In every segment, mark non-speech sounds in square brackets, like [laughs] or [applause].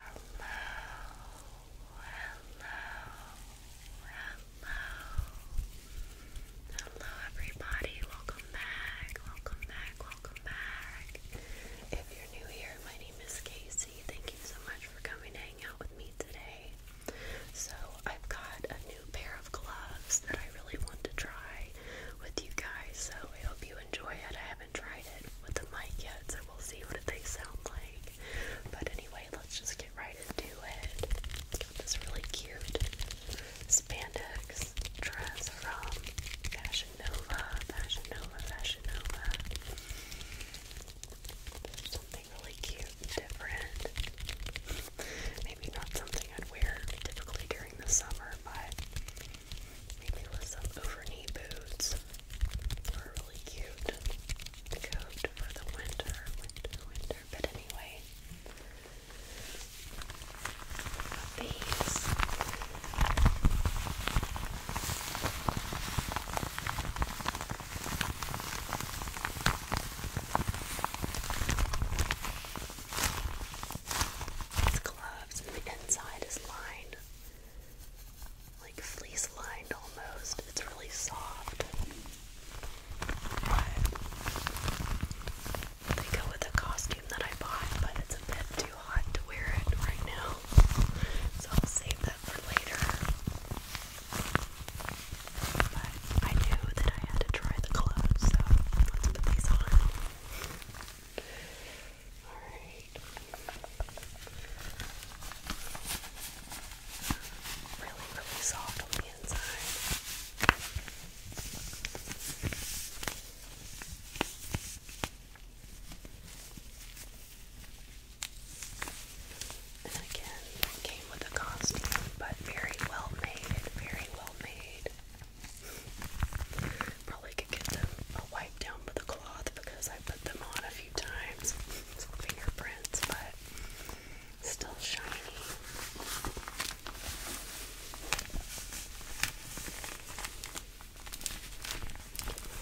Hello, hello, hello. Hello, everybody. Welcome back. Welcome back. Welcome back. If you're new here, my name is Casey. Thank you so much for coming to hang out with me today. So, I've got a new pair of gloves that I really want to try with you guys. So, I hope you enjoy it haven't tried it with the mic yet, so we'll see what they sound like. But anyway, let's just get right into it. Got this really cute spandex dress from Fashion Nova, Fashion Nova, Fashion Nova. There's something really cute and different. Maybe not something I'd wear typically during the summer, but Maybe with some over knee boots are really cute coat for the winter, winter, winter. But anyway, these. gloves and the inside is lined like fleece lined almost. It's really soft. they go with the costume that I bought, but it's a bit too hot to wear it right now. So I'll save that for later. But I knew that I had to try the clothes, so let's put these on. Really, really soft on the inside. And again, came with a costume, but very well made, very well made. Probably could get them a down with a cloth because I put them on a few times. fingerprints, but still shiny.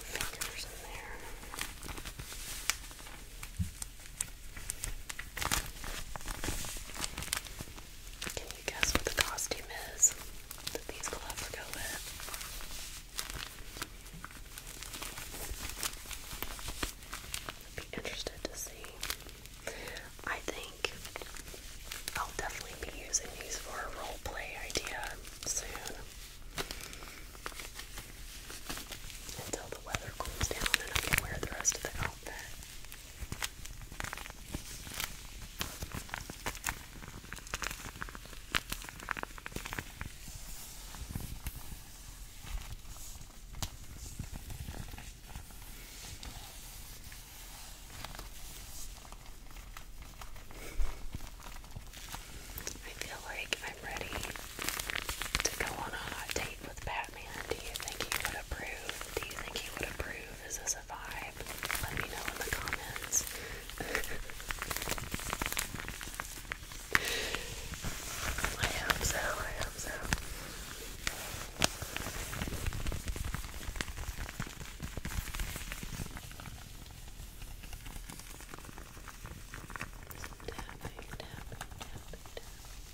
Fingers in there. Can you guess what the costume is that these gloves go with? I'd be interested to see. I think I'll definitely be using these for a role play idea soon. Until the weather cools down and I can wear the rest of the outfit. I feel like I'm ready to go on a hot date with Batman. Do you think he would approve? Do you think he would approve? Is this a vibe? subscribe. Let me know in the comments. [laughs] I hope so, I hope so. tapping, tapping, tapping.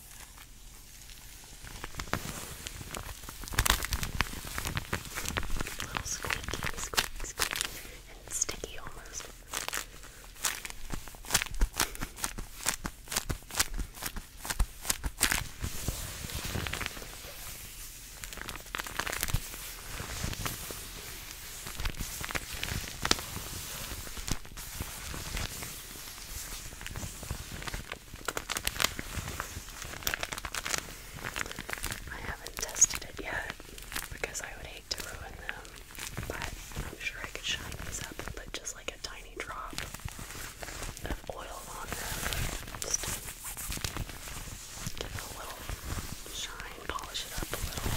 A little squeaky, squeaky, squeaky, and sticky almost. I haven't tested it yet because I would hate to ruin them, but I'm sure I could shine these up and just like a tiny drop of oil on them. give it a little shine, polish it up a little.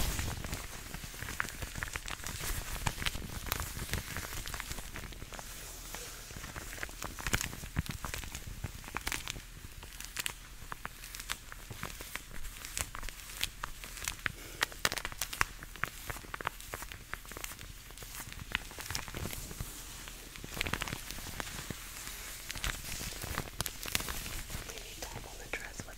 Maybe top on the dress with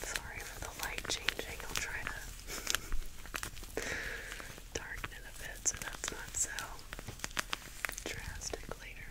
Sorry for the light changing. I'll try to [laughs] darken a bit so that's not so drastic later.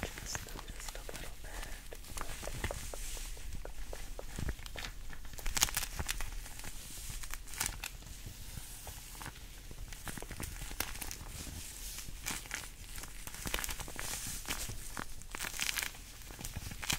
Just, just a little bit. Okay.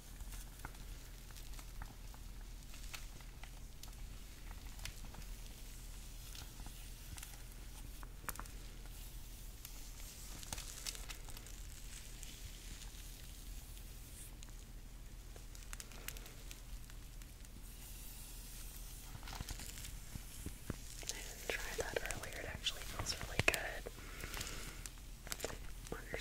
I didn't try that earlier, it actually feels really good on your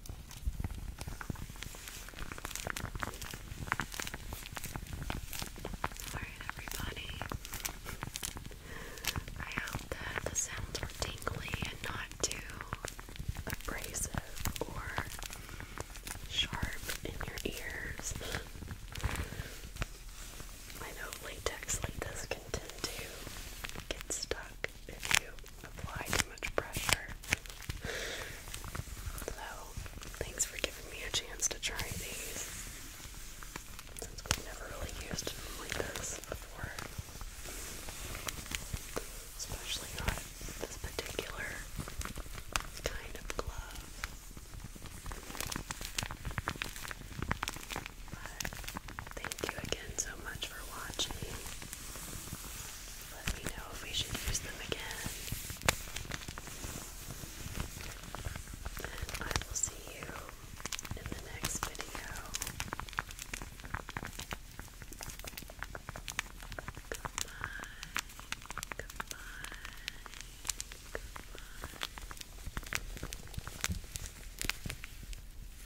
Alright, everybody. I hope that the sounds were tingly and not too abrasive or sharp in your ears. I know latex like this can tend to get stuck if you apply too much pressure. So, thanks for giving me a chance to try these. Since we've never really used like this before. Especially not this particular kind of glove. But thank you again so much for watching. Let me know if we should use them again. And I will see you in the next video. Goodbye. Goodbye. Goodbye.